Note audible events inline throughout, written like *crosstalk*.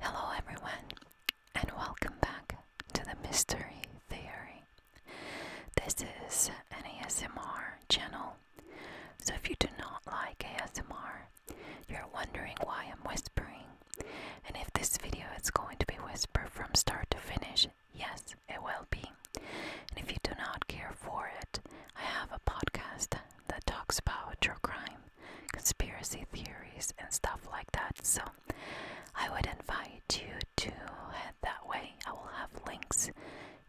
Hello, everyone, and welcome back to the Mystery Theory. This is an ASMR channel, so if you do not like ASMR, you're wondering why I'm whispering, and if this video is going to be whisper from start to finish, yes, it will be. And if you do not care for it, I have a podcast that talks about true crime conspiracy theories and stuff like that. So I would invite you to head that way. I will have links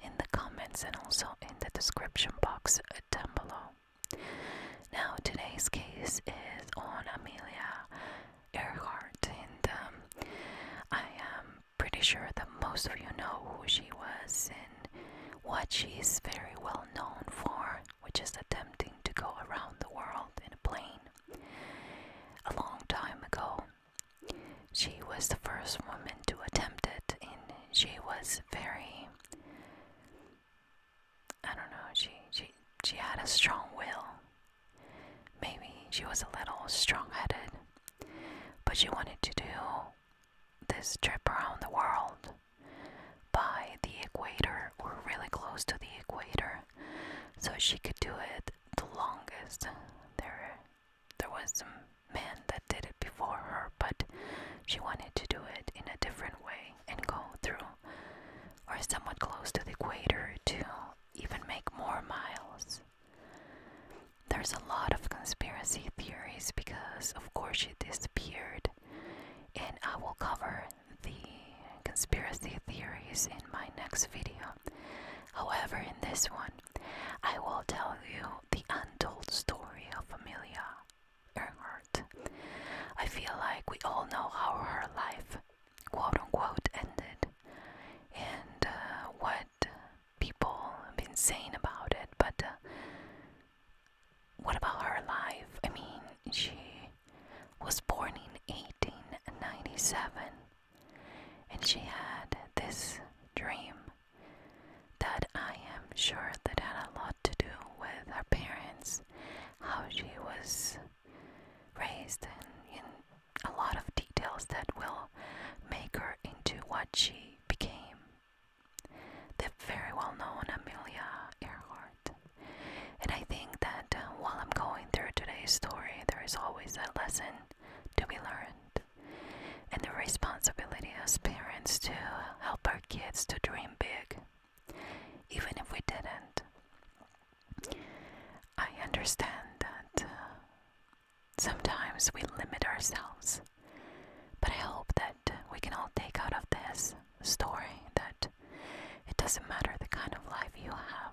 in the comments and also in the description box down below. Now, today's case is on Amelia Earhart, and um, I am pretty sure that most of you know who she was and what she is very well known for which is attempting to go around the world in a plane. A long time ago, she was the first woman to attempt it, and she was very. I don't know, she, she, she had a strong will. Maybe she was a little strong headed, but she wanted to do this trip around the world by the equator or really close to the equator. So she could do it the longest. There there was some men that did it before her, but she wanted to do it in a different way and go through or somewhat close to the equator to even make more miles. There's a lot of conspiracy theories because, of course, she disappeared, and I will cover the conspiracy theories in my next video. However, in this one, I will tell you the untold story of Amelia Earhart. I feel like we all know how her life, quote unquote, ended and uh, what people have been saying about it, but uh, what about her life? I mean, she was born in 1897 and she had this dream that I am sure that had a lot to do with her parents, how she was raised, and in a lot of details that will make her into what she became. The very well known Amelia Earhart. And I think that uh, while I'm going through today's story, there is always a lesson to be learned. And the responsibility as parents to help our kids to dream big, even if we didn't. I understand that uh, sometimes we limit ourselves, but I hope that we can all take out of this story that it doesn't matter the kind of life you have.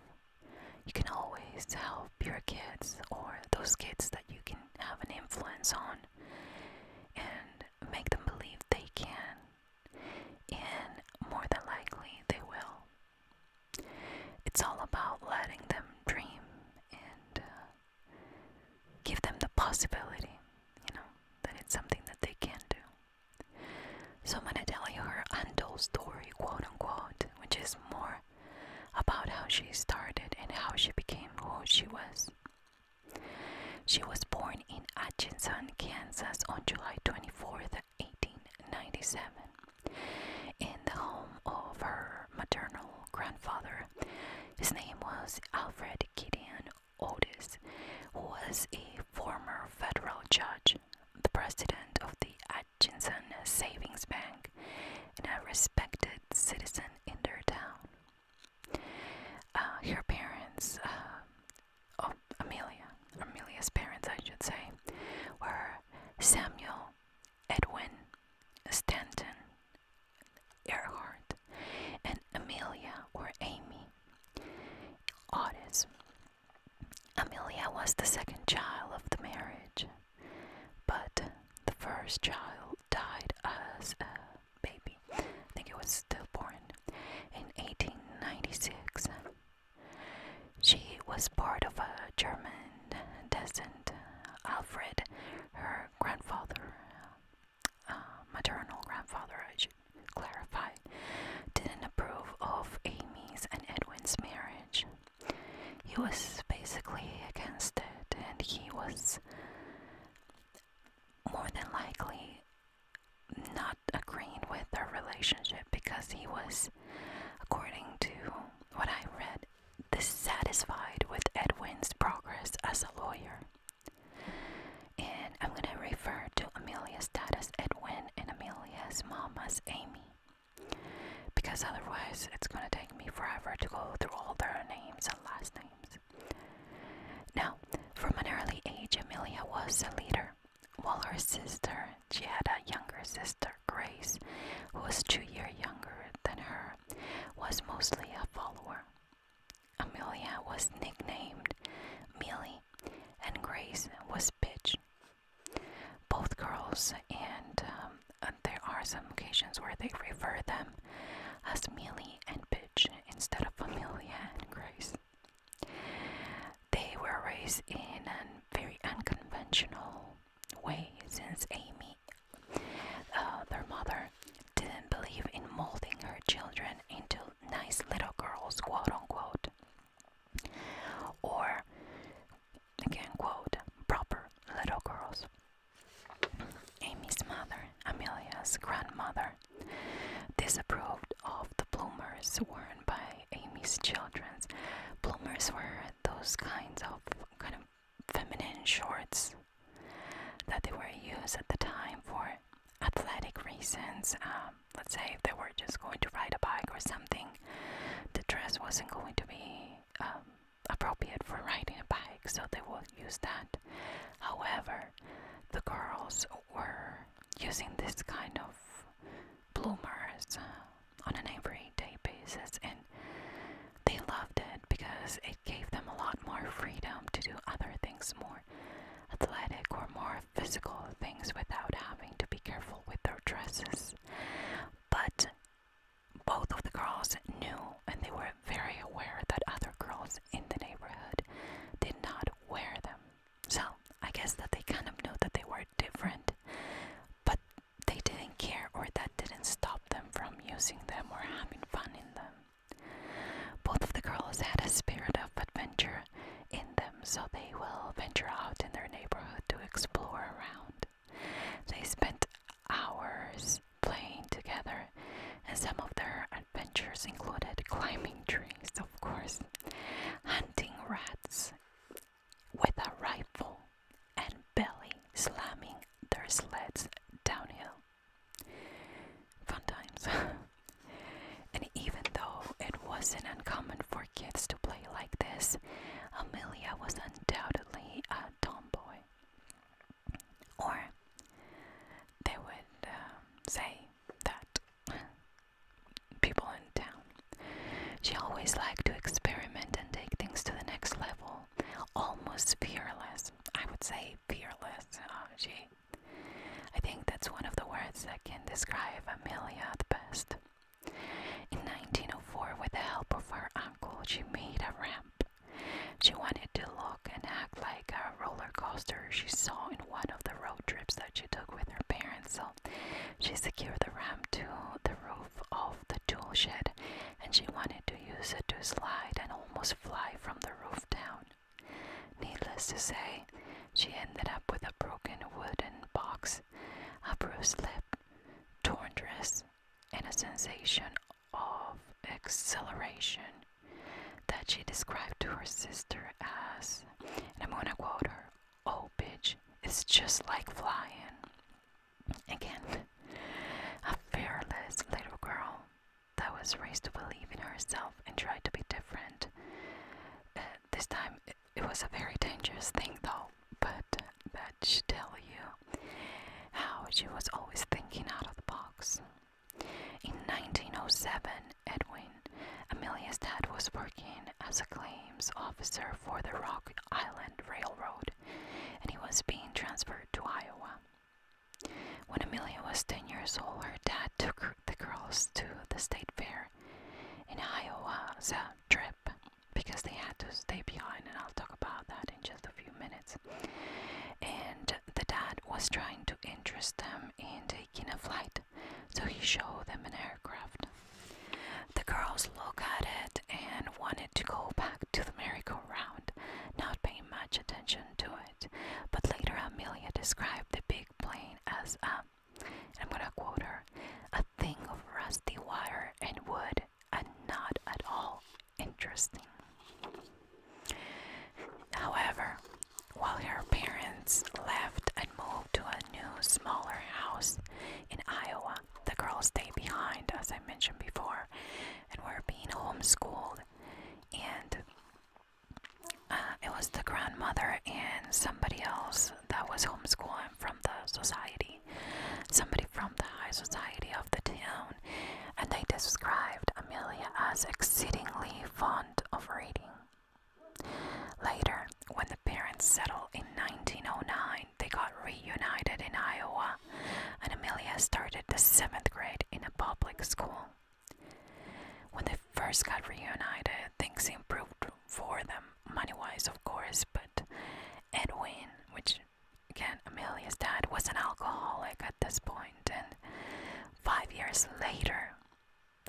You can always help your kids or those kids that you can have an influence on and make them believe they can. And more than likely, they will. It's all about letting them dream and uh, give them the possibility, you know, that it's something that they can do. So I'm gonna tell you her untold story, quote unquote, which is more about how she started and how she became who she was. She was born in Atchison, Kansas on July 24, 1897, in the home of her maternal grandfather. His name was Alfred Gideon Otis, who was a former federal judge, the president of the Atchison Savings Bank, and a respected citizen in their town. Uh, her parents, uh, oh, Amelia, Amelia's parents, I should say, were Samuel Edwin Stanton Earhart and Amelia or Amy Otis. Amelia was the second child of the marriage, but the first child died as a baby. I think it was stillborn in 1896. She was part of a German descent. Alfred, her grandfather, uh, maternal grandfather, clarify, didn't approve of Amy's and Edwin's marriage. He was basically against it, and he was more than likely not agreeing with their relationship because he was, according to what I read, dissatisfied with Edwin's progress as a lawyer and I'm gonna refer to Amelia's dad as Edwin and Amelia's mom as Amy because otherwise it's gonna take me forever to go through all their names and last names. Now, from an early age, Amelia was a leader, while her sister, she had a younger sister, Grace, who was two years younger than her, was mostly a follower. Amelia was nicknamed Millie and Grace was bitch. Both girls, and um, uh, there are some occasions where they refer them as Millie and Bitch instead of Amelia and Grace. They were raised in a very unconventional way since Amy, uh, their mother, didn't believe in molding her children into nice little girls, quote unquote. Or, again, quote, proper little girls. Amy's mother, Amelia's grandmother, disapproved of the bloomers worn by Amy's children. Bloomers were those kinds of kind of feminine shorts that they were used at the time for athletic reasons. Um, let's say if they were just going to ride a bike or something, the dress wasn't going to be um, appropriate for riding a bike, so they will use that. However, the girls were using this kind of bloomers uh, on an everyday basis, and they loved it because it gave them a lot more freedom to do other things more athletic or more physical things without having to be careful with their dresses. But both of the girls knew and they were very aware that other girls in the neighborhood did not wear them. So I guess that they kind of knew that they were different, but they didn't care or that didn't stop them from using them or having fun in them. Both of the girls had a spirit of adventure in them, so they will venture out in their neighborhood to explore around. They spent hours playing together, and some of their adventures included climbing trees, of course, hunting rats with a rifle, and belly slamming their sleds downhill. Fun times. *laughs* And even though it wasn't uncommon for kids to play like this, Amelia was undoubtedly a tomboy. Or they would um, say that people in town. She always liked to experiment and take things to the next level, almost fearless. I would say fearless. Uh, she I think that's one of the words that can describe Amelia the best. In 1904, with the help of her uncle, she made a ramp. She wanted to look and act like a roller coaster she saw in one of the road trips that she took with her parents, so she secured the ramp to the roof of the tool shed and she wanted to use it to slide and almost fly from the roof down. Needless to say, she ended up with a broken wooden box, a bruised lip, torn dress, and a sensation of acceleration that she described to her sister as, and I'm gonna quote her, oh bitch, it's just like flying. Again, a fearless little girl that was raised to believe in herself and try to be different. Uh, this time, it was a very dangerous thing, though, but that should tell you how she was always thinking out of the box. In 1907, Edwin, Amelia's dad, was working as a claims officer for the Rock Island Railroad, and he was being transferred to Iowa. When Amelia was 10 years old, her dad took her the girls to the state fair in Iowa as a trip because they had to stay behind, and I'll talk about that in just a few minutes. And the dad was trying to interest them in taking a flight, so he showed them an aircraft. The girls looked at it and wanted to go back to the merry-go-round, not paying much attention to it. But later, Amelia described the big plane as a I'm gonna quote her a thing of rusty wire and wood, and not at all interesting. However, while her parents left and moved to a new, smaller house in Iowa, the girls stayed behind, as I mentioned before, and were being homeschooled. And uh, it was the grandmother and somebody else that was homeschooling from the society, somebody from the high society of the town, and they described Amelia as exceedingly fond of reading. Later, when the parents settled in 1909, they got reunited in Iowa, and Amelia started the seventh grade in a public school. When they first got reunited, things improved for them money wise, of course, but Edwin, which again, Amelia's dad, was an alcoholic at this point, and five years later,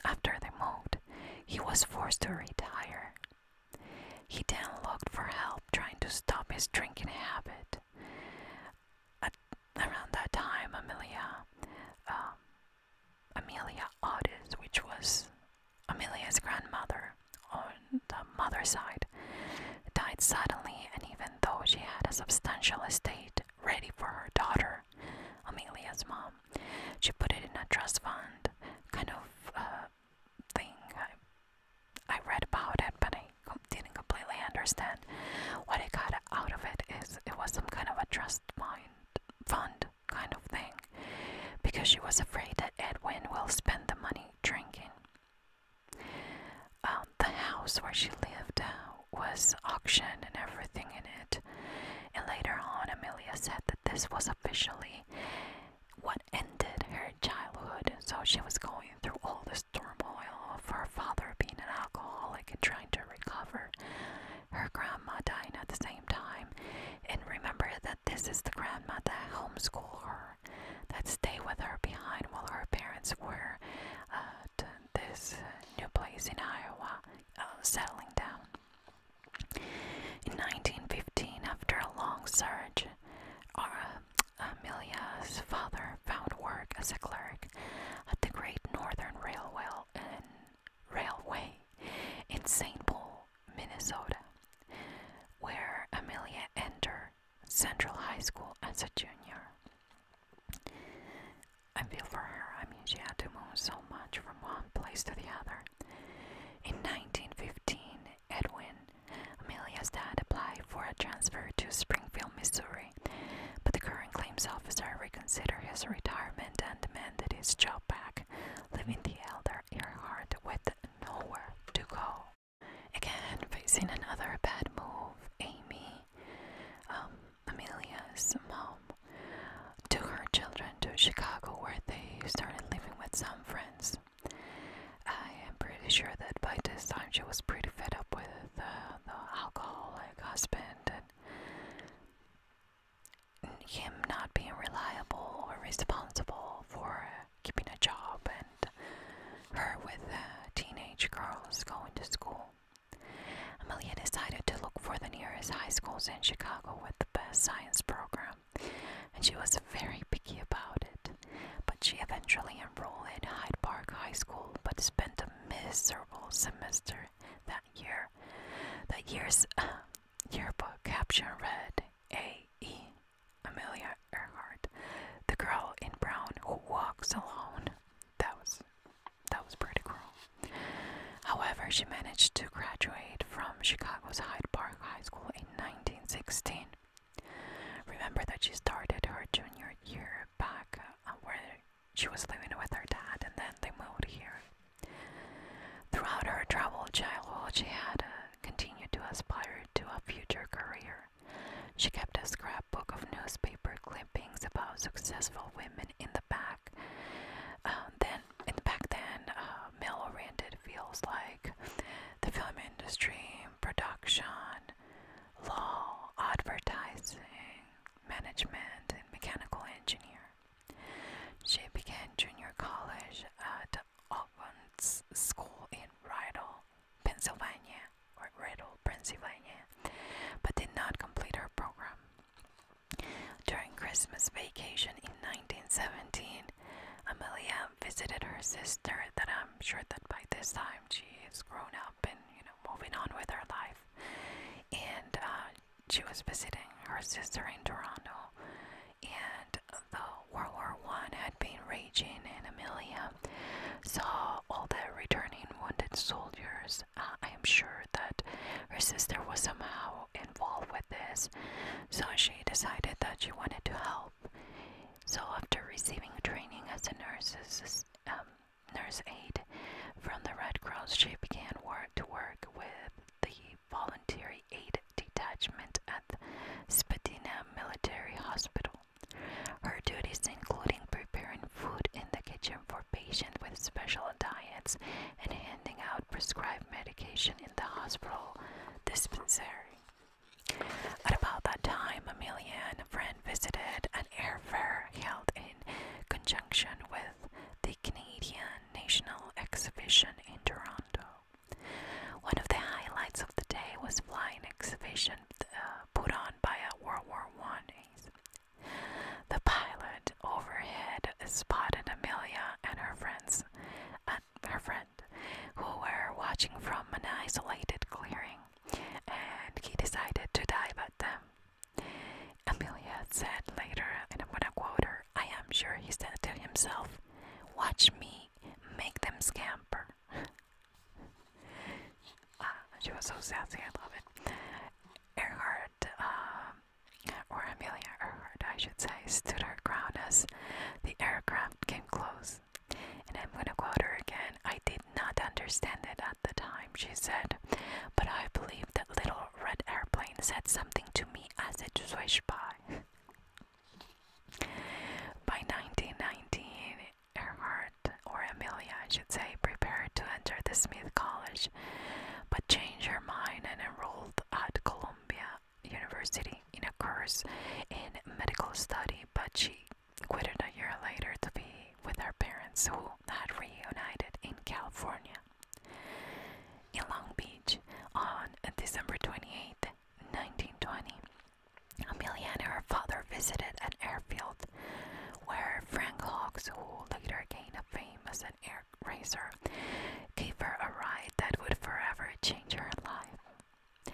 after they moved, he was forced to retire. He then looked for help trying to stop his drinking habit. around that time, Amelia um, Amelia Otis, which was Amelia's grandmother on the mother's side, died suddenly, and even though she had a substantial estate ready for her daughter, Amelia's mom, she put it in a trust fund kind of uh, thing. I, I read about it, but I didn't completely understand. What I got out of it is it was some kind of a trust fund kind of thing, because she was afraid that Edwin will spend the money drinking. Um, the house where she lived uh, was auctioned and everything in it, and later on, Amelia said that this was officially what ended her childhood. So she was going through all this turmoil of her father being an alcoholic and trying to recover her grandma dying at the same time. And remember that this is the grandma that homeschooled her, that stayed with her behind while her parents were at uh, this new place in Iowa, uh, settling down. In 1915, after a long search, Ara, father found work as a clerk at the Great Northern Railway in St. Paul. Minnesota, where Amelia entered Central High School as a junior. I feel for her, I mean, she had to move so much from one place to the other. In 1915, Edwin, Amelia's dad, applied for a transfer to Springfield, Missouri, but the current claims officer reconsidered his retirement and demanded his job back back, leaving the elder Earhart with nowhere to go. Again, facing another bad move, Amy, um, Amelia's mom, took her children to Chicago where they started living with some friends. I am pretty sure that by this time she was pretty fed up with uh, the alcoholic husband and him not being reliable or responsible for keeping a job and her with uh, teenage girls going to school. Amelia decided to look for the nearest high schools in Chicago with the best science program, and she was very picky about it. But she eventually enrolled in Hyde Park High School, but spent a miserable semester that year. That year's uh, yearbook caption read A.E. Amelia Earhart, the girl in brown who walks alone. That was that was pretty cruel. However, she managed to graduate from Chicago's Hyde Park High School in 1916. Remember that she started her junior year back uh, where she was living with her dad, and then they moved here Throughout her troubled childhood, she had uh, continued to aspire to a future career. She kept a scrapbook of newspaper clippings about successful women in the back. Um, then, back then, uh, male-oriented fields like the film industry, production, law, advertising, management, and mechanical engineer. She began junior college uh, at Ogden's School in Riddle, Pennsylvania, or Riddle, Pennsylvania, but did not complete her program. During Christmas vacation in 1917, Amelia visited her sister that I'm sure that by this time she is grown up and you know moving on with her life. And uh, she was visiting her sister in Toronto and the World War One had been raging in Amelia, so all the returning wounded soldiers. Uh, I am sure that her sister was somehow involved with this, so she decided that she wanted to help. So after receiving training as a nurse's um, nurse aide from the Red Cross, she began to work with the Voluntary Aid Detachment at the Spadina Military Hospital. Her duties included preparing food in the kitchen for patients with special diets and handing out prescribed medication in the hospital dispensary. At about that time, Amelia and a friend visited an air fair held in conjunction with the Canadian National Exhibition in Toronto. One of the highlights of the day was flying exhibition uh, put on by a World War I. The pilot overhead spotted Amelia and her friends, and her friend, who were watching from an isolated clearing, and he decided to dive at them. Amelia said later, and I'm gonna quote her. I am sure he said to himself, Watch me make them scamper. *laughs* Ah, she was so sassy, I love it. Earhart, uh, or Amelia Earhart, I should say, stood her ground as the aircraft came close. And I'm gonna quote her again. I did not understand it at the time, she said, but I believe that little red airplane said something to me as it swished by. *laughs* By 1919, Earhart, or Amelia I should say, prepared to enter the Smith College, but changed her mind and enrolled at Columbia University in a course in medical study, but she quitted a year later to be with her parents who had reunited in California. In Long Beach, on December 28, 1920, Emiliana, her father, visited an airfield where Frank Hawks, who later gained a fame as an air racer, gave her a ride that would forever change her life.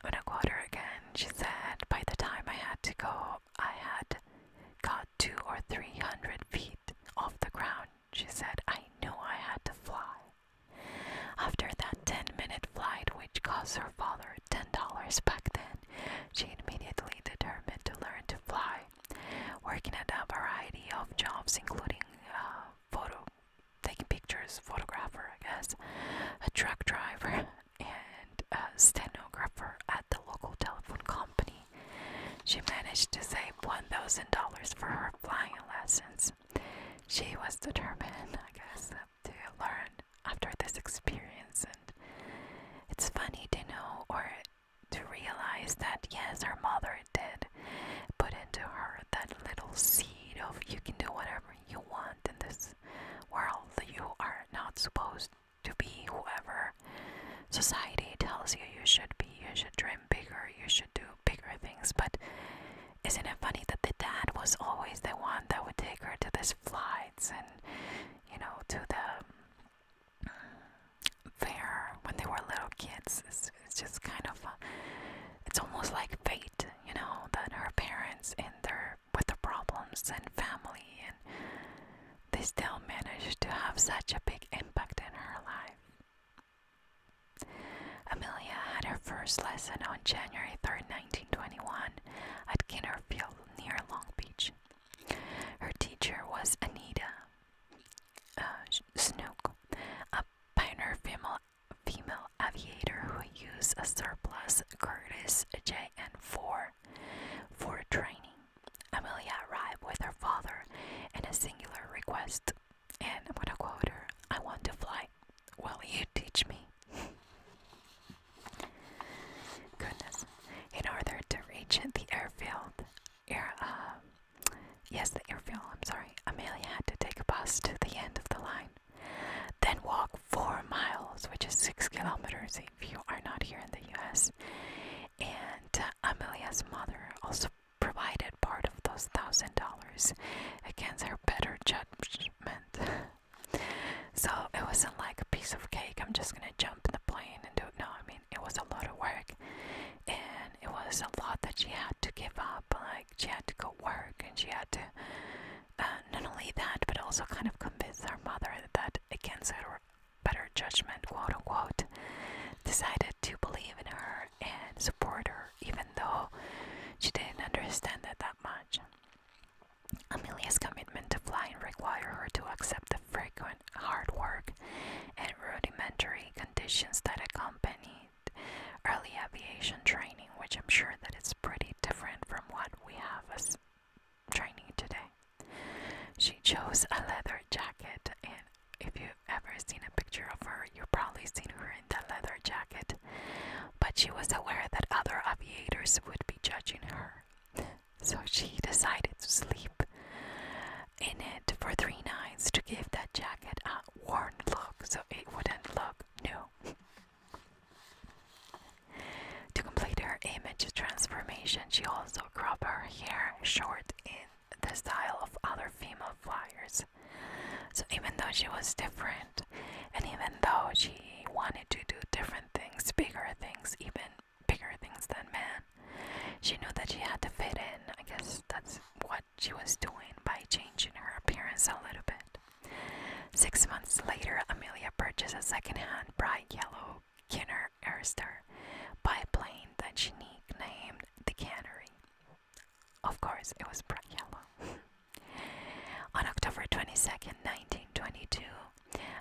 When I got her again, she said, By the time I had to go, I had got two or three hundred feet off the ground she said, I knew I had to fly. After that 10 minute flight, which cost her father $10 back then, she immediately determined to learn to fly, working at a variety of jobs, including uh, photo, taking pictures, photographer, I guess, a truck driver, *laughs* and a stenographer at the local telephone company. She managed to save $1,000 for her flying lessons she was determined, I guess, to learn after this experience. And it's funny to know or to realize that, yes, her mother did put into her that little seed of you can do whatever you want in this world, you are not supposed to be whoever society tells you you should be, you should dream bigger, you should do bigger things, but isn't it funny that the dad was always the one that would take her to these flights and, you know, to the um, fair when they were little kids? It's, it's just kind of, a, uh, it's almost like fate, you know, that her parents and their, with the problems and family, and they still managed to have such a big impact in her life. Amelia had her first lesson on January 3, 1921, at Field near Long Beach. Her teacher was Anita uh, a pioneer female, female aviator who used a surplus Curtiss JN4 for training. Amelia arrived with her father in a singular request and I'm gonna quote her I want to fly. Well, you teach me. Goodness. In order to reach the airfield, air, uh, yes, the airfield, I'm sorry, Amelia had to take a bus to the end of the line, then walk four miles, which is six kilometers if you are not here in the US. And uh, Amelia's mother also provided part of those thousand dollars against her better judgment. so it wasn't like a piece of cake, I'm just gonna jump in the plane and do it. No, I mean, it was a lot of work and it was a lot that she had to give up. Like, she had to go work and she had to. Uh, not only that, but also kind of convince her mother that, against her better judgment, quote unquote, decided to believe in her and support her, even though she didn't understand it that much. Amelia's commitment to flying required her to accept the frequent hard work and rudimentary conditions that accompanied early aviation training, which I'm sure that it's pretty different from what we have as training today. She chose a leather jacket and if you've ever seen a picture of her, you've probably seen her in that leather jacket. But she was aware that other aviators would be judging her, so she decided to sleep in it for three nights to give that jacket a worn look so it wouldn't look new. to complete her image transformation, she also cropped her hair short in the style of other female flyers. So even though she was different, and even though she wanted to do different things, bigger things, even bigger things than men, she knew that she had to fit in. I guess that's what she was doing by changing her appearance a little bit. Six months later, Amelia purchased a second-hand bright yellow Kinner Airster plane that she named the Cannery. Of course, it was bright yellow. *laughs* On October twenty-second, 1922,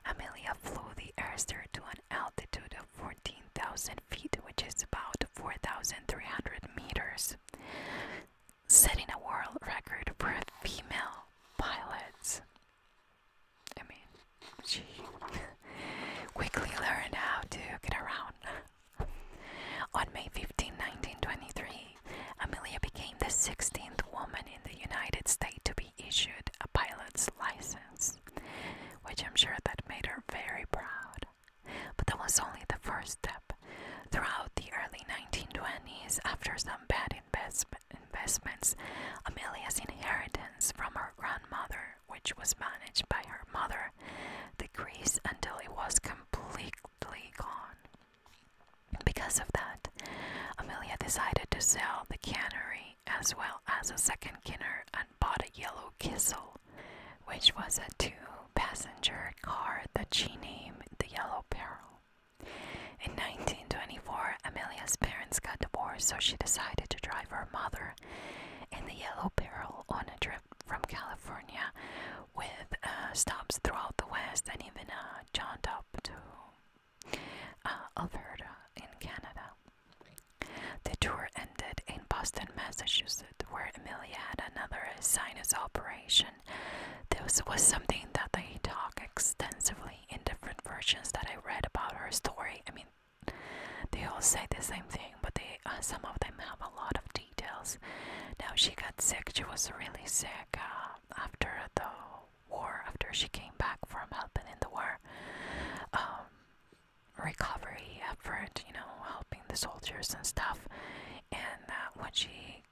Amelia flew the Airster to an altitude of 14,000 feet, which is about 4,300 meters, setting a world record for female pilots. I mean, she *laughs* quickly learned how to get around. On May 15, 1923, Amelia became the 16th woman in the United States to be issued a pilot's license, which I'm sure that made her very proud. But that was only the first step. Throughout the early 1920s, after some bad investments, Amelia's inheritance from her grandmother, which was managed by her mother, decreased until it was completely gone. Because of that, Amelia decided to sell the cannery as well as a second kinner and bought a yellow kissel, which was a two passenger car that she named the Yellow Peril. In 1924, Amelia's parents got divorced, so she decided to drive her mother in the Yellow Peril on a trip from California with uh, stops throughout the West and even a jaunt up to uh, Alberta in Canada. The tour ended in Boston, Massachusetts, where Amelia had another sinus operation. This was something that they talk extensively in different versions that I read about her story. I mean, they all say the same thing, but they uh, some of them have a lot of now she got sick. She was really sick uh, after the war. After she came back from helping in the war, um, recovery effort. You know, helping the soldiers and stuff. And uh, when she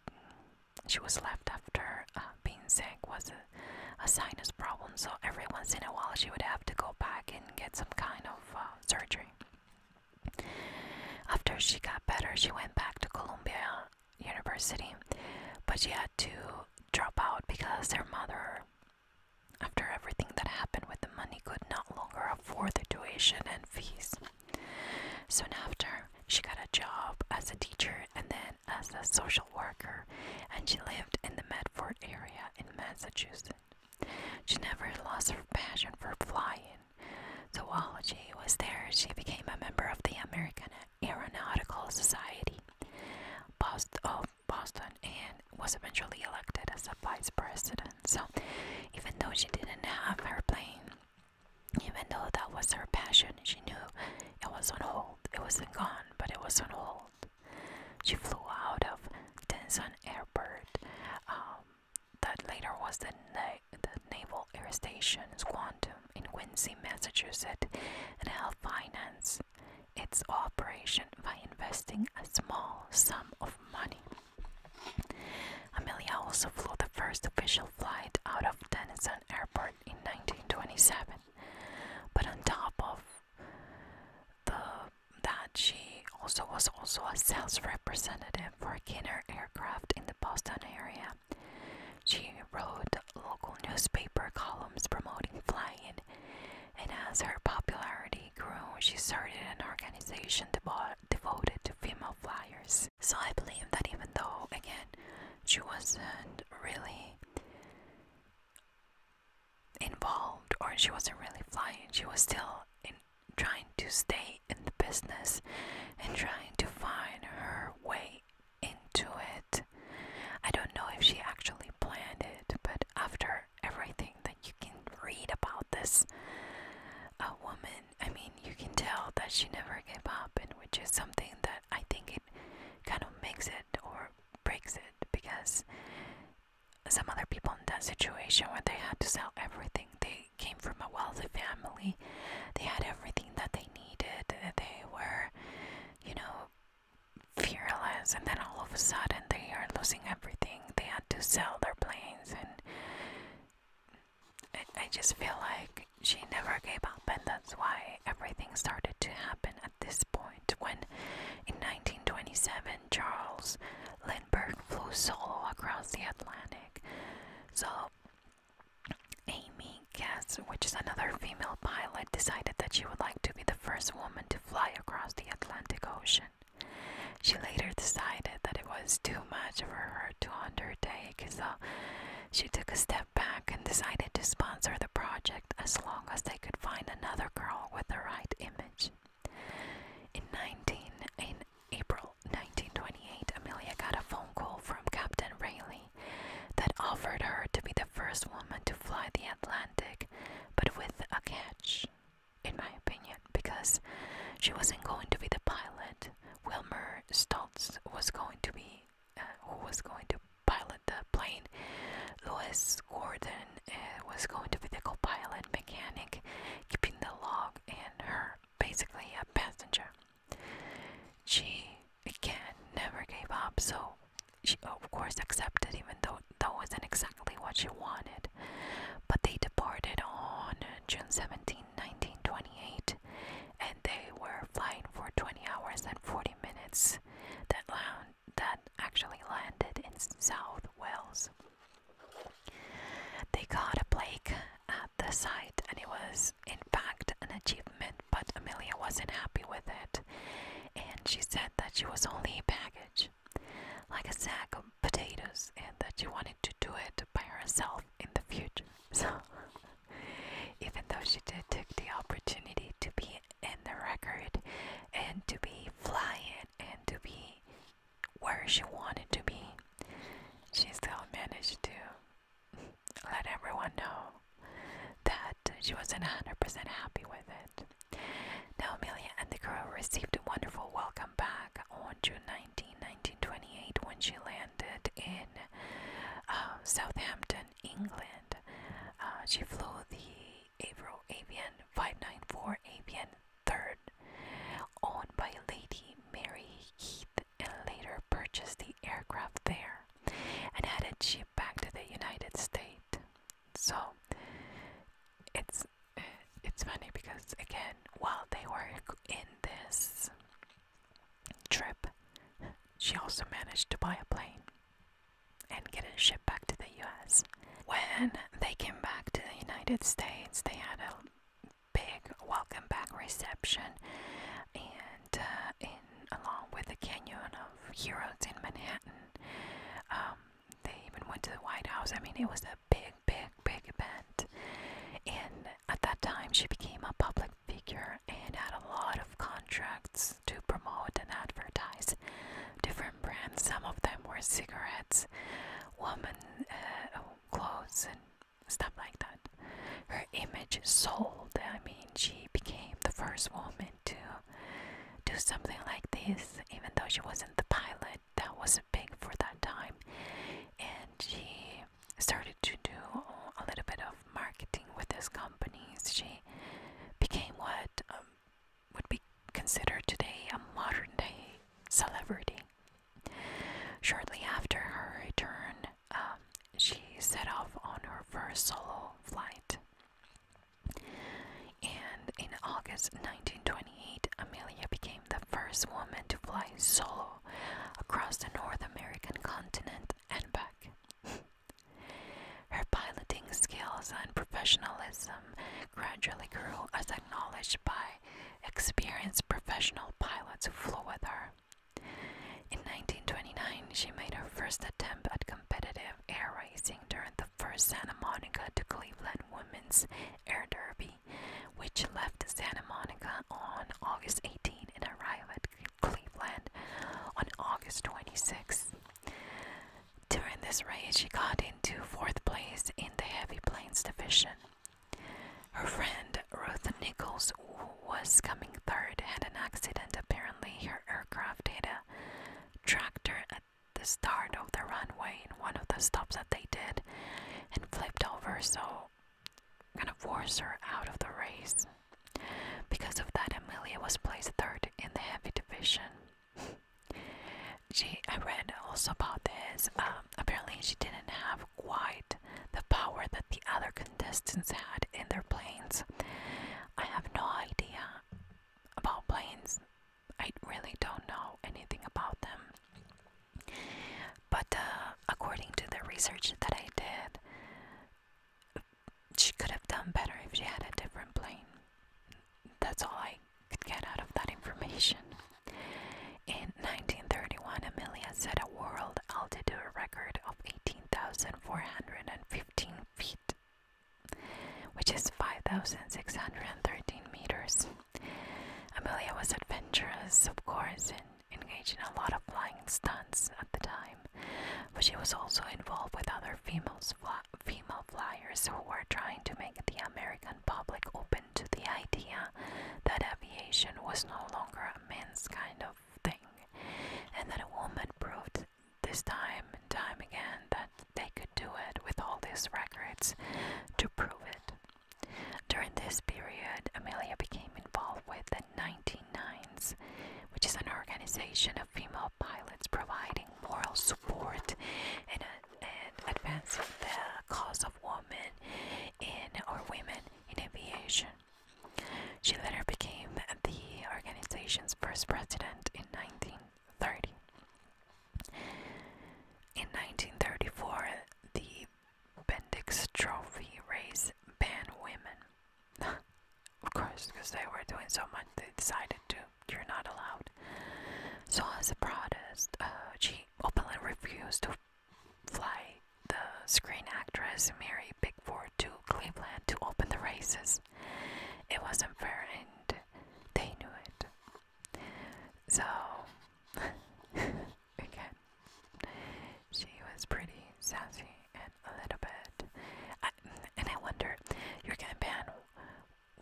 she was left after uh, being sick was a, a sinus problem. So every once in a while she would have to go back and get some kind of surgery. After she got better, she went back to Columbia University, but she had to drop out because her mother, after everything that happened with the money, could not longer afford the tuition and fees. Soon after, she got a job as a teacher and then as a social worker, and she lived in the Medford area in Massachusetts. She never lost her passion for flying, Zoology was there she became a member of the American Aeronautical Society, Boston, of oh, Boston, and was eventually elected as a vice president. So, even though she didn't have her plane, even though that was her passion, she knew it was on hold. It wasn't gone, but it was on hold. She flew out of Denison Airport. Um, that later was the, Naval Air Station Quantum in Quincy, Massachusetts, and helped finance its operation by investing a small sum of money. Amelia also flew the first official flight out of Denison Airport in 1927, but on top of the, that she also was also a sales rep representative for Kinner Aircraft in the Boston area. She wrote local newspaper columns promoting flying, and as her popularity grew, she started an organization devoted to female flyers. So I believe that even though, again, she wasn't really involved or she wasn't really flying, she was still in trying to stay in the business and trying to find her way into it. I don't know if she actually planned it, but after everything that you can read about this a woman, I mean, you can tell that she never gave up, and which is something that I think it kind of makes it or breaks it because some other people in that situation where they had to sell everything, they came from a wealthy family. They had everything that they needed. They were, you know, fearless. And then all of a sudden, they are losing everything. They had to sell their planes. And I, I just feel like she never gave up. And that's why everything started to happen at this point when in 1927, Charles Lindbergh flew solo across the Atlantic. So Amy Katz, which is another female pilot, decided that she would like to be the first woman to fly across the Atlantic Ocean. She later decided that it was too much for her to undertake, so she took a step back and decided to sponsor the project as long as they could find another girl with the right image. In 19, April 1928, Amelia got a phone call from Captain Rayleigh that offered her to be the first woman to fly the Atlantic, but with a catch, in my opinion, because she wasn't going to be the pilot. Wilmer Stoltz was going to be uh, who was going to pilot the plane. Louis Gordon uh, was going to be the co-pilot mechanic, keeping the log, and her basically a passenger. She again never gave up, so she of course accepted, even though that wasn't exactly what she wanted. But they departed on June 17, 1928, and they were flying for 20 hours and 40 minutes. That land that actually landed in South Wales. They caught a Blake at the site, and it was, in fact, an achievement, but Amelia wasn't happy with it, and she said that she was only a package, like a sack of potatoes, and that she wanted to do it by herself in the future. *laughs* So, even though she did take the opportunity to be in the record and to be flying and to be where she wanted to be, she still managed to *laughs* let everyone know that she wasn't 100% happy with it. Now, Amelia and the crew received a wonderful welcome back on June 19, 1928, when she landed in um, Southampton, England. Uh, she flew the Avro Avian 594 Avian 3rd, owned by Lady Mary Heath and later purchased the aircraft there and had it shipped back to the United States. So it's uh, it's funny because again, while they were in this trip, she also managed to buy a plane and get it shipped back to the US. When they came back to the United States, they had a big welcome back reception, and uh, in along with the Canyon of Heroes in Manhattan, um, they even went to the White House. I mean, it was a big, big, big event, and at that time, she became a public figure and had a lot of contracts to promote and advertise different brands. Some of them were cigarettes, women uh, clothes, and stuff like that. Her image sold. I mean, she became the first woman to do something like this, even though she wasn't the pilot. That wasn't big for that time, and she started to do a little bit of marketing with his companies. She became what um, would be considered today a modern day celebrity. Shortly after her return, um, she set off on her first solo flight. And in August 1928, Amelia became the first woman to fly solo across the North American continent and back. *laughs* her piloting skills and professionalism gradually grew as acknowledged by experienced professional pilots who flew with her. In 1929, she made her first attempt at competitive air racing during the first Santa Monica to Cleveland Women's Air Derby, which left Santa Monica on August 18 and arrived at Cleveland on August 26. During this race, she got into fourth place in the heavy planes division. Her friend Ruth Nichols, who was coming third, had an accident. Apparently, her aircraft hit a tractor at the start of the runway in one of the stops that they did and flipped over, so kind of forced her out of the race. Because of that, Amelia was placed third in the heavy division. *laughs* she, I read also about this. Um, apparently, she didn't have quite the power that the other contestants had in their planes. I have no idea about planes. I really don't know anything about them. But uh, according to the research that I did, she could have done better if she had a different plane. That's all I could get out of that information. In 1931, Amelia set a world altitude record of 18,415 feet, which is 5,613 meters. Amelia was adventurous, of course, and engaged in a lot of flying stunts at the time, but she was also involved with other females female flyers who were trying to make the American public open to the idea that aviation was no longer a kind of thing, and that a woman proved this time and time again that they could do it with all these records to prove it. During this period, Amelia became involved with the 199s, which is an organization of female pilots providing moral support and, uh, and advancing the cause of women in or women in aviation. She later became the organization's first president in 1930. In 1934, the Bendix Trophy race banned women. *laughs* of course, because they were doing so much, they decided to, you're not allowed. So, as a protest, uh, she openly refused to fly the screen actress Mary Pickford to Cleveland to open the races. It wasn't fair and they knew it. So, *laughs* again, she was pretty sassy and a little bit. and I wonder, you are gonna ban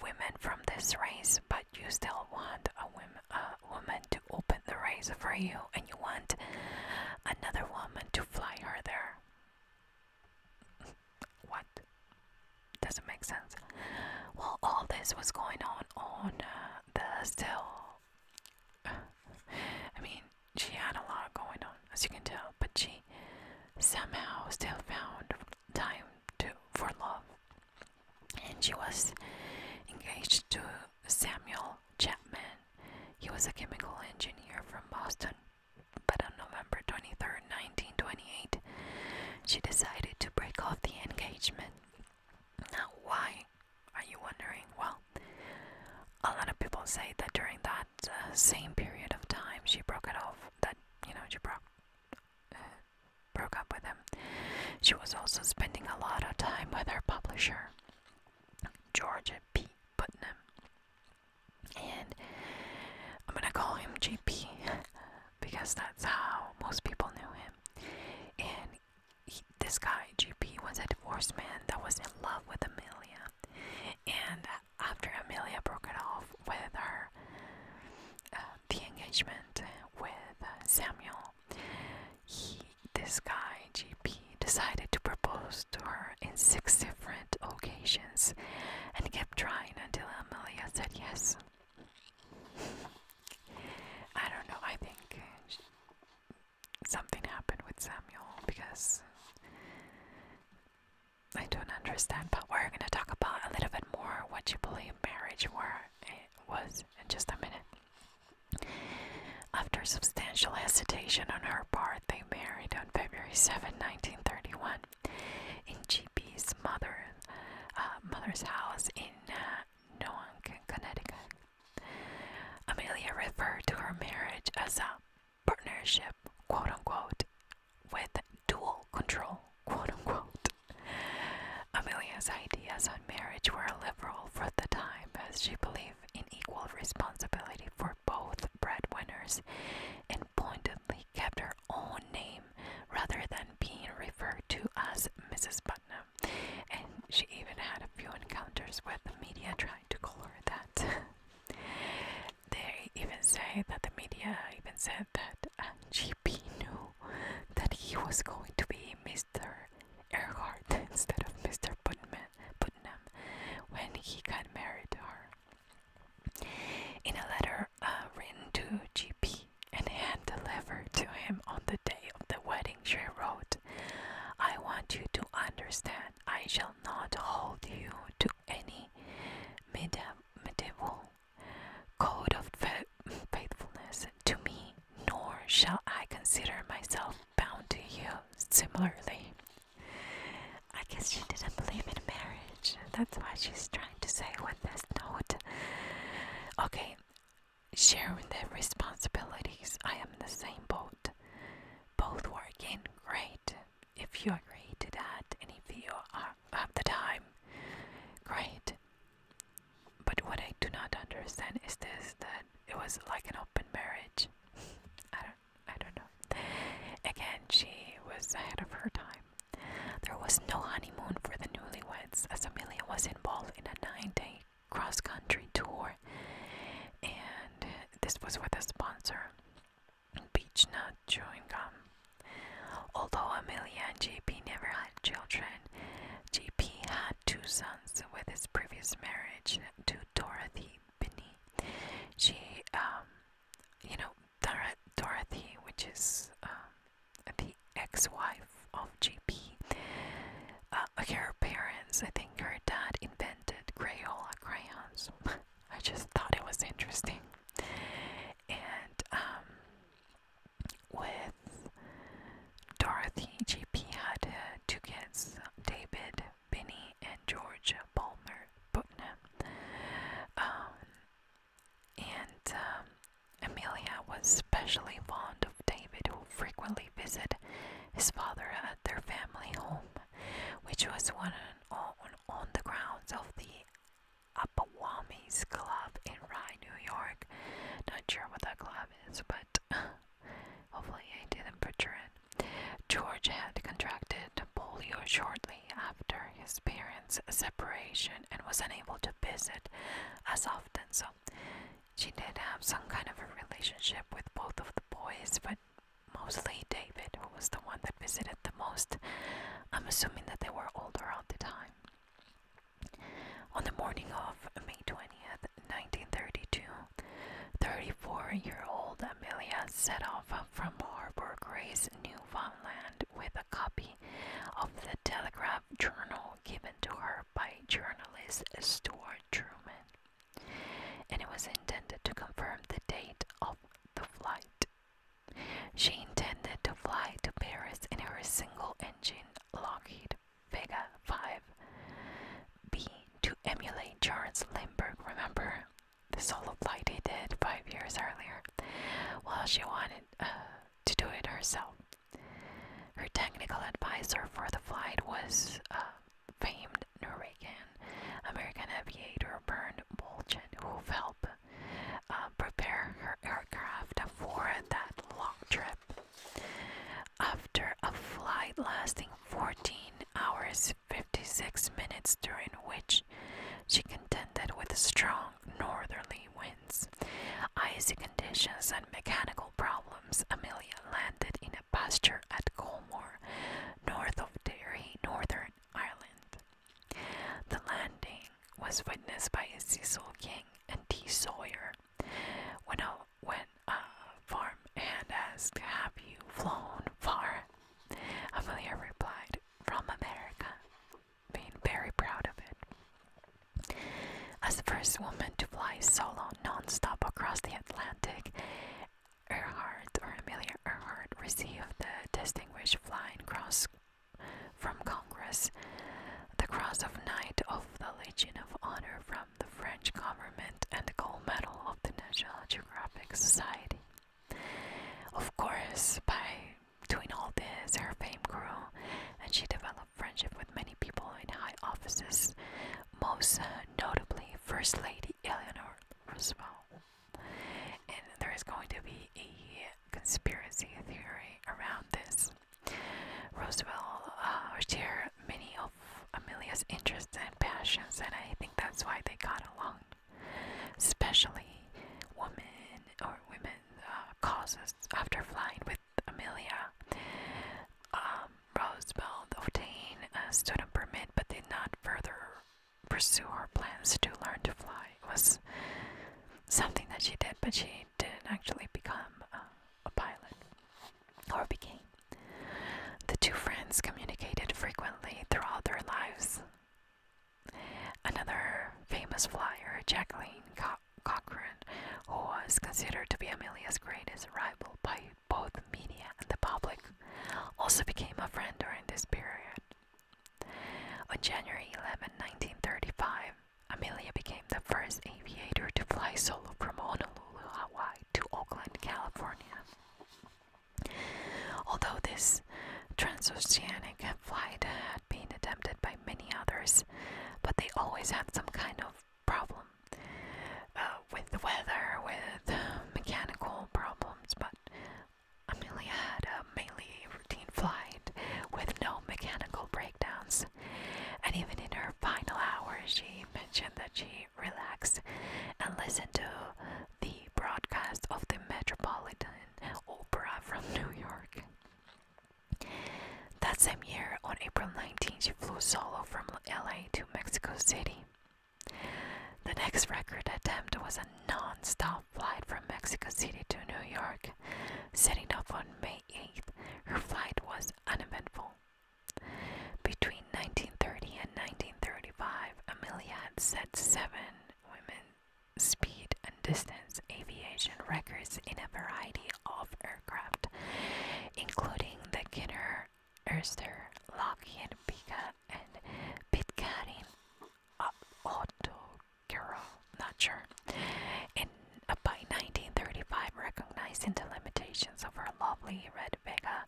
women from this race, but you still want a woman, woman to open the razor for you and you want another woman to fly her there. *laughs* what? Doesn't make sense. While all this was going on on uh, the still. *sighs* I mean, she had a lot going on, as you can tell, but she somehow still found time to for love, and she was engaged to Samuel Chapman. He was a chemical engineer from Boston, but on November 23, 1928, she decided to break off the engagement. Now, why? Are you wondering? Well, a lot of people say that during that uh, same period of time she broke it off. That you know she broke uh, broke up with him. She was also spending a lot of time with her publisher. George P. Putnam. And I'm gonna call him JP *laughs* because that's how most people knew him. And this guy, JP, was a divorced man that was in love with Amelia. And after Amelia broke it off with her, uh, the engagement with uh, Samuel, he this guy, GP, decided to propose to her in six different occasions and kept trying until Amelia said yes. I don't know, I think something happened with Samuel because I don't understand, but we're gonna talk about a little bit more what you believe marriage eh, was in just a minute. After substantial hesitation on her part, they married on February 7, 1931, in GP's mother, uh, mother's house in uh, Noank, Connecticut. Amelia referred to her marriage as a partnership, quote unquote, with dual control, quote unquote. Amelia's ideas on marriage were liberal for the time, as she believed belief in equal responsibility for both breadwinners and pointedly kept her own name rather than being referred to as Mrs. Putnam. And she even had a few encounters with the media trying to call her that. *laughs* they even say that the media even said that uh, GP knew that he was going to be Mr. Earhart instead of Mr. Putnam, Putnam when he got married to her. In a letter uh, written to GP and hand delivered to him on the day of the wedding, she wrote, I want you to understand I shall not hold you to any medieval code of faithfulness to me, nor shall I consider myself bound to you similarly. I guess she didn't believe in marriage. That's why she's trying to say with this note. Okay, sharing the responsibilities. I am in the same boat. Both working, great. If you agree to that and if you are, have the time, great. But what I do not understand is this that it was like an open marriage. *laughs* I don't I don't know. Again, she was ahead of her time. There was no honeymoon for the newlyweds as Amelia was involved in a nine day cross country tour and this was with a sponsor Nut Chewing Gum. Although Amelia and JP never had children, JP had two sons with his previous marriage to Dorothy Binney. She, um, you know, Dorothy, which is um, the ex-wife of JP. Uh, her parents, I think, her dad invented Crayola crayons. *laughs* I just thought it was interesting, and um, with Dorothy, JP had uh, two kids, David Benny and George Palmer Bookman, um, and um, Amelia was especially fond of David, who frequently visited his father at their family home, which was one on, on the grounds of the Apawamis Club in Rye, New York. Not sure what that club is, but *sighs* Hopefully, I didn't butcher it. George had contracted polio shortly after his parents' separation and was unable to visit as often, so she did have some kind of a relationship with both of the boys, but mostly David, who was the one that visited the most. I'm assuming that they were older at the time. On the morning of May 20th, 1932, Thirty-four year old Amelia set off from Harbour Grace, Newfoundland, with a copy of the Telegraph Journal given to her by journalist Stuart Truman, and it was intended to confirm the date of the flight. She intended to fly to Paris in her single engine Lockheed Vega 5 be to emulate Charles Lindbergh. Remember the solo flight he did five years earlier? Well, she wanted uh, to do it herself. Her technical advisor for the flight was uh, famed Norwegian American aviator Bernd Bolchen, who helped uh, prepare her aircraft for that long trip after a flight lasting 14 hours 56 minutes, during which she contended with strong northerly winds, icy conditions, and mechanical problems. Amelia landed in a pasture at Colmore, north of Derry, Northern Ireland. The landing was witnessed by Cecil King and T. Sawyer. When a went uh, farm and asked, Have you flown far? Amelia replied, From America, being very proud of it. As the first woman to fly solo non-stop across the Atlantic, Earhart or Amelia Earhart received the Distinguished Flying Cross from Congress, the Cross of Knight of the Legion of Honor from the French government and the gold medal of the National Geographic Society. Of course, by doing all this, her fame grew and she developed friendship with many people in high offices, most uh, notably First Lady Eleanor Roosevelt. And there is going to be a conspiracy theory around this. Roosevelt was uh, here many of. Amelia's interests and passions, and I think that's why they got along. Especially women or women uh, causes after flying with Amelia. Um, Roosevelt obtained uh, a student permit but did not further pursue her plans to learn to fly. It was something that she did, but she didn't actually become uh, a pilot or became. The two friends communicated frequently throughout their lives. Another famous flyer, Jacqueline Co Cochran, who was considered to be Amelia's greatest rival by both media and the public, also became a friend during this period. On January 11, 1935, Amelia became the first aviator to fly solo from Honolulu, Hawaii to Oakland, California. Although this transoceanic flight had been attempted by many others, but they always had some kind of problem uh, with the weather, with mechanical problems, but Amelia had a mainly routine flight with no mechanical breakdowns. And even in her final hours, she mentioned that she relax and listen to the broadcast of the Metropolitan Opera from *laughs* New York. That same year, on April 19, she flew solo from LA to Mexico City. The next record attempt was a non stop flight from Mexico City to New York. Setting off on May 8th, her flight was uneventful. Between 1930 and 1935, Amelia set seven women speed and distance aviation records in a variety of aircraft, including the Kinner, Erster, Lockheed, Pika, and Pitcairn Auto uh, Girl, not sure. Uh, by 1935, recognizing the limitations of her lovely red Vega,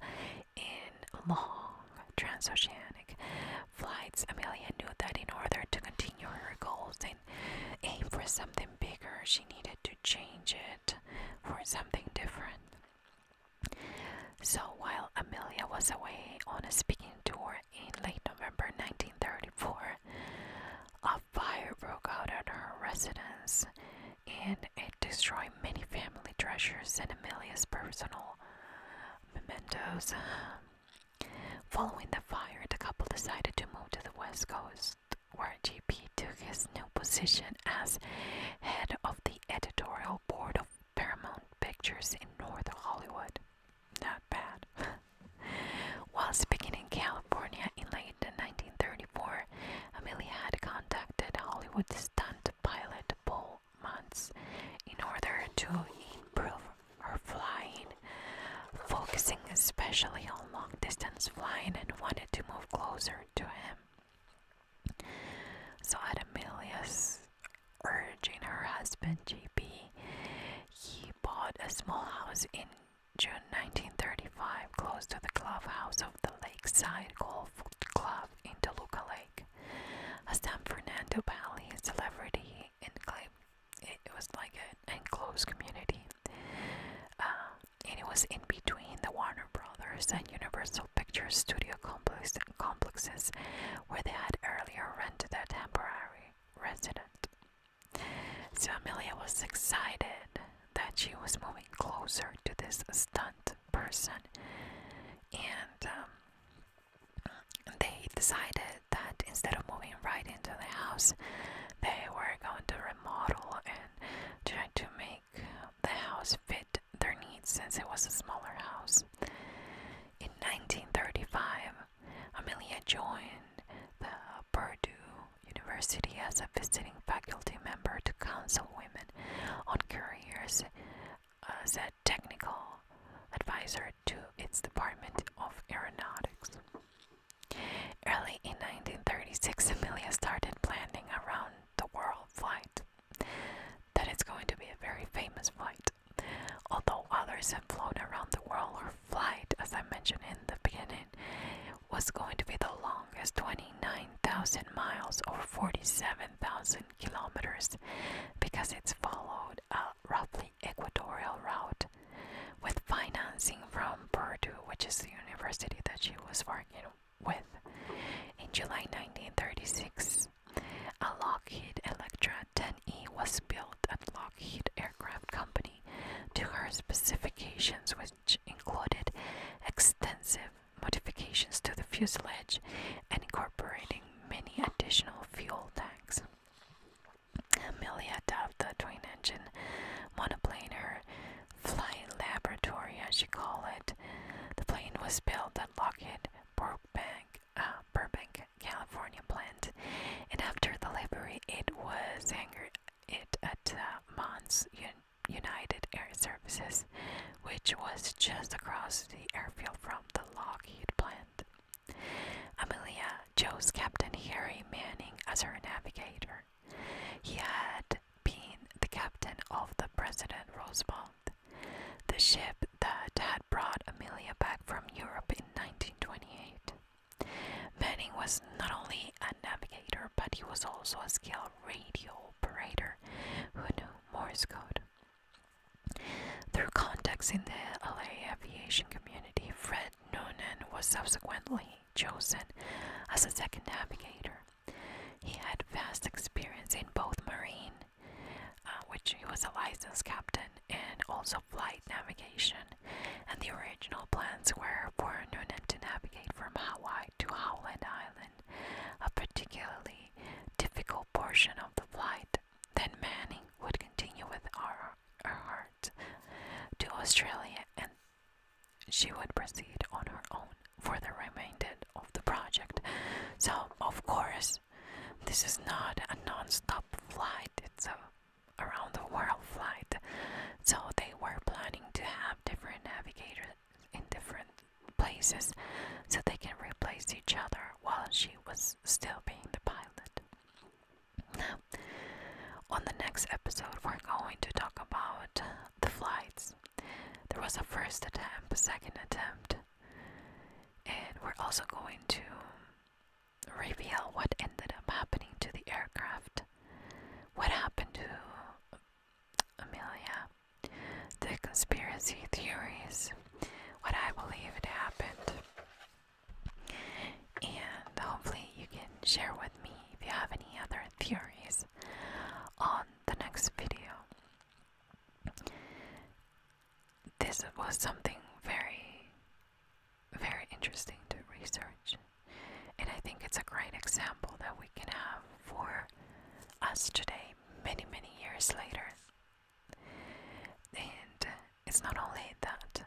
in long transoceanic flights, Amelia knew that in order to continue her goals and aim for something bigger, she needed to change it for something different. So while Amelia was away on a speaking tour in late November 1934, a fire broke out at her residence and it destroyed many family treasures and Amelia's personal mementos. Following the fire, the couple decided to move to the west coast, where GP took his new position as head of the editorial board of Paramount Pictures in North Hollywood. Not bad. *laughs* While speaking in California in late 1934, Amelia had contacted Hollywood stunt pilot Paul Muntz in order to improve her flying, focusing especially on long distance flying, and wanted to move closer to him. So, at Amelia's urging her husband JP, he bought a small house in June 1935 close to the clubhouse of the Lakeside Golf Club in Toluca a San Fernando Valley celebrity enclave. It, it was like an enclosed community. Um, and it was in between the Warner Brothers and Universal Pictures studio complexes where they had earlier rented a temporary residence. So Amelia was excited that she was moving closer to this stunt person, and um, they decided that instead of moving right into the house, they were going to remodel and try to make the house fit their needs since it was a smaller house. In 1935, Amelia joined the Purdue University as a visiting faculty member to counsel women on careers as a technical advisor to its Department of Aeronautics. Early in 1936, Amelia started planning around the world flight. That is going to be a very famous flight. Although others have flown around the world, her flight, as I mentioned in the beginning, was going to be the longest 29,000 miles or 47,000 kilometers because it's followed a roughly equatorial route with financing from Purdue, which is the university that she was working with. In July 1936, a Lockheed Electra 10E was built at Lockheed Aircraft Company to her specifications, which included extensive modifications to the fuselage and incorporating many additional fuel tanks. Amelia dubbed the twin engine monoplane her flight laboratory, as she called it. The plane was built at Lockheed Burbank, uh, California plant, and after delivery, it was anchored it at uh, Mons United Air Services, which was just across the airfield from the Lockheed plant. Amelia chose Captain Harry Manning as her navigator. He had been the captain of the President Roosevelt, the ship that had brought Amelia back from Europe in 1928. Manning was not only a navigator, but he was also a skilled radio operator who knew Morse code. Through contacts in the LA aviation community, Fred Noonan was subsequently chosen as a second navigator. He had vast experience in both marine, uh, which he was a licensed captain, and also flight navigation. And the original plans were for Noonan to navigate from Hawaii to Howland Island, a uh, particularly difficult portion of the flight. Then Manning would continue with Ar Earhart to Australia and she would proceed on her own for the remainder of the project. So, of course, this is not a non stop flight, it's a around the world flight. So, they were planning to have different navigators in different places so they can replace each other while she was still being the pilot. on the next episode, we're going to talk about the flights. There was a first attempt, a second attempt, and we're also going to reveal what ended up happening to the aircraft, what happened to Amelia, the conspiracy theories, what I believe happened. And hopefully, you can share with me if you have any other theories on the next video. This was something very, very interesting to research, and I think it's a great example that we can have for us today many, many years later. And it's not only that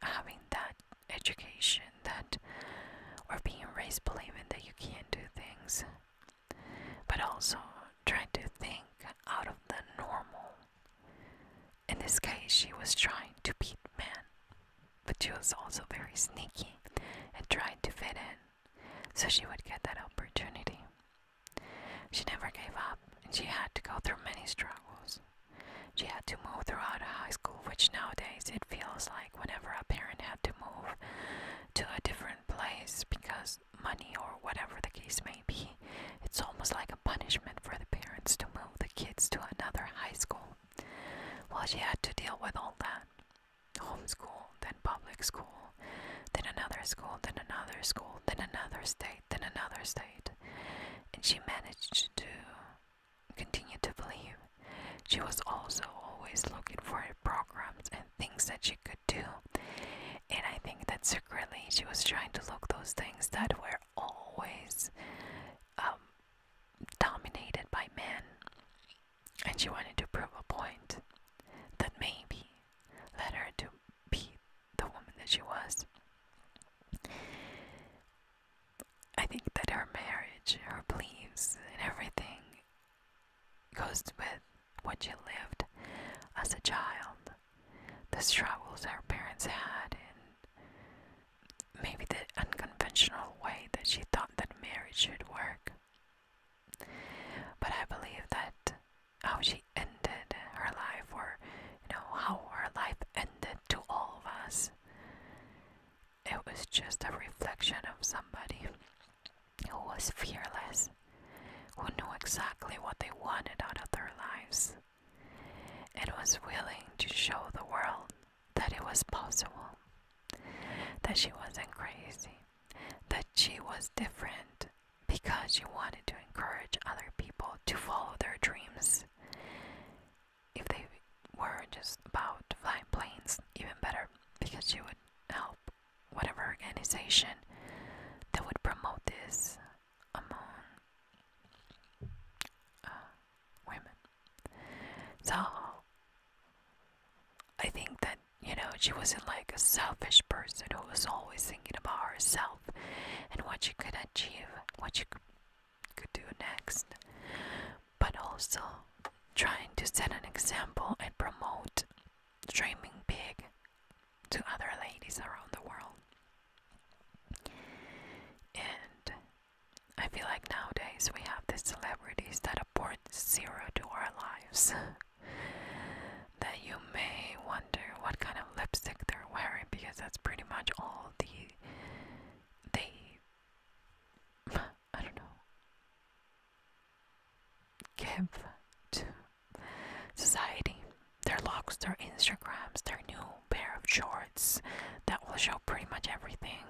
having that education that or being raised believing that you can't do things, but also trying to think out of the normal. In this case, she was trying to beat men, but she was also very sneaky and tried to fit in, so she would get that opportunity. She never gave up, and she had to go through many struggles. She had to move throughout high school, which nowadays it feels like whenever a parent had to move to a different place because money or whatever the case may be, it's almost like a punishment for the parents to move the kids to another high school. Well, she had to deal with all that. Home school, then public school, then another school, then another school, then another state, then another state. And she managed to continue to believe. She was also always looking for programs and things that she could do. And I think that secretly she was trying to look those things that were always um, dominated by men. And she wanted to prove a point that maybe let her to be the woman that she was. I think that her marriage, her beliefs, and everything goes with what she lived as a child, the struggles her parents had, and maybe the unconventional way that she thought that marriage should work. But I believe that how she ended her life, or you know, how her life ended to all of us, it was just a reflection of somebody who was fearless, who knew exactly what they wanted out of their lives, and was willing to show the world that it was possible, that she wasn't crazy, that she was different, because you wanted to encourage other people to follow their dreams. If they were just about flying planes, even better, because you would help whatever organization that would promote this among uh, women. So I think that you know, she wasn't like a selfish person who was always thinking about herself and what she could achieve, what she could do next, but also trying to set an example and promote dreaming big to other ladies around the world. And I feel like nowadays we have these celebrities that apport zero to our lives. *laughs* that you may wonder what kind of lipstick they're wearing because that's pretty much all the they *laughs* I don't know give to society. Their looks, their Instagrams, their new pair of shorts that will show pretty much everything.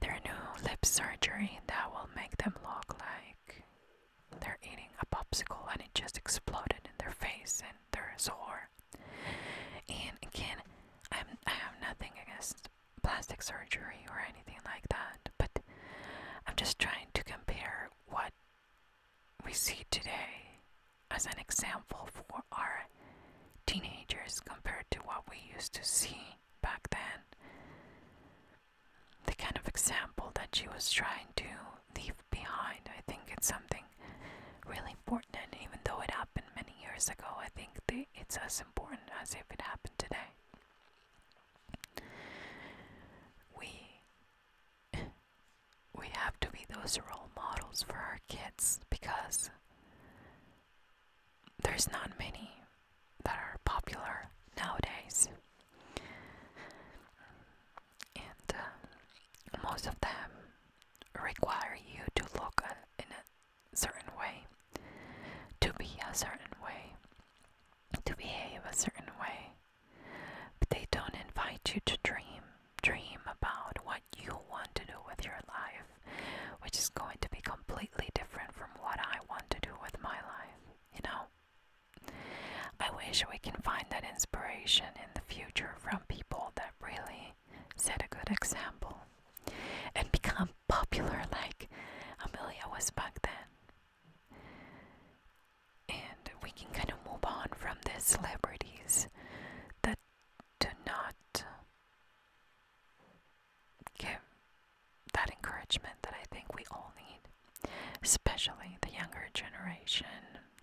Their new lip surgery that will make them look like they're eating a popsicle and it just exploded in their face and they're sore. And again, I'm, I have nothing against plastic surgery or anything like that, but I'm just trying to compare what we see today as an example for our teenagers compared to what we used to see back then the kind of example that she was trying to leave behind. I think it's something really important, even though it happened many years ago, I think they, it's as important as if it happened today. We *laughs* we have to be those role models for our kids because there's not many that are popular nowadays and um, most of them require you to look in a certain way, to be a certain way, to behave a certain way, but they don't invite you to dream, dream about what you want to do with your life, which is going to be completely different from what I want to do with my life, you know. I wish we can find that inspiration in the future from people that really set a good example and become popular like Amelia was back then. And we can kind of move on from the celebrities that do not give that encouragement that I think we all need especially the younger generation,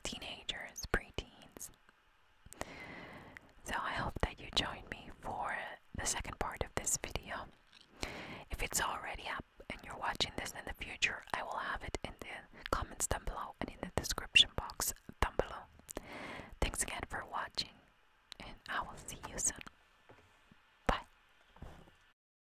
teenagers, preteens. So I hope that you join me for the second part of this video. If it's already up and you're watching this in the future, I will have it in the comments down below and in the description box down below. Thanks again for watching, and I will see you soon. Bye.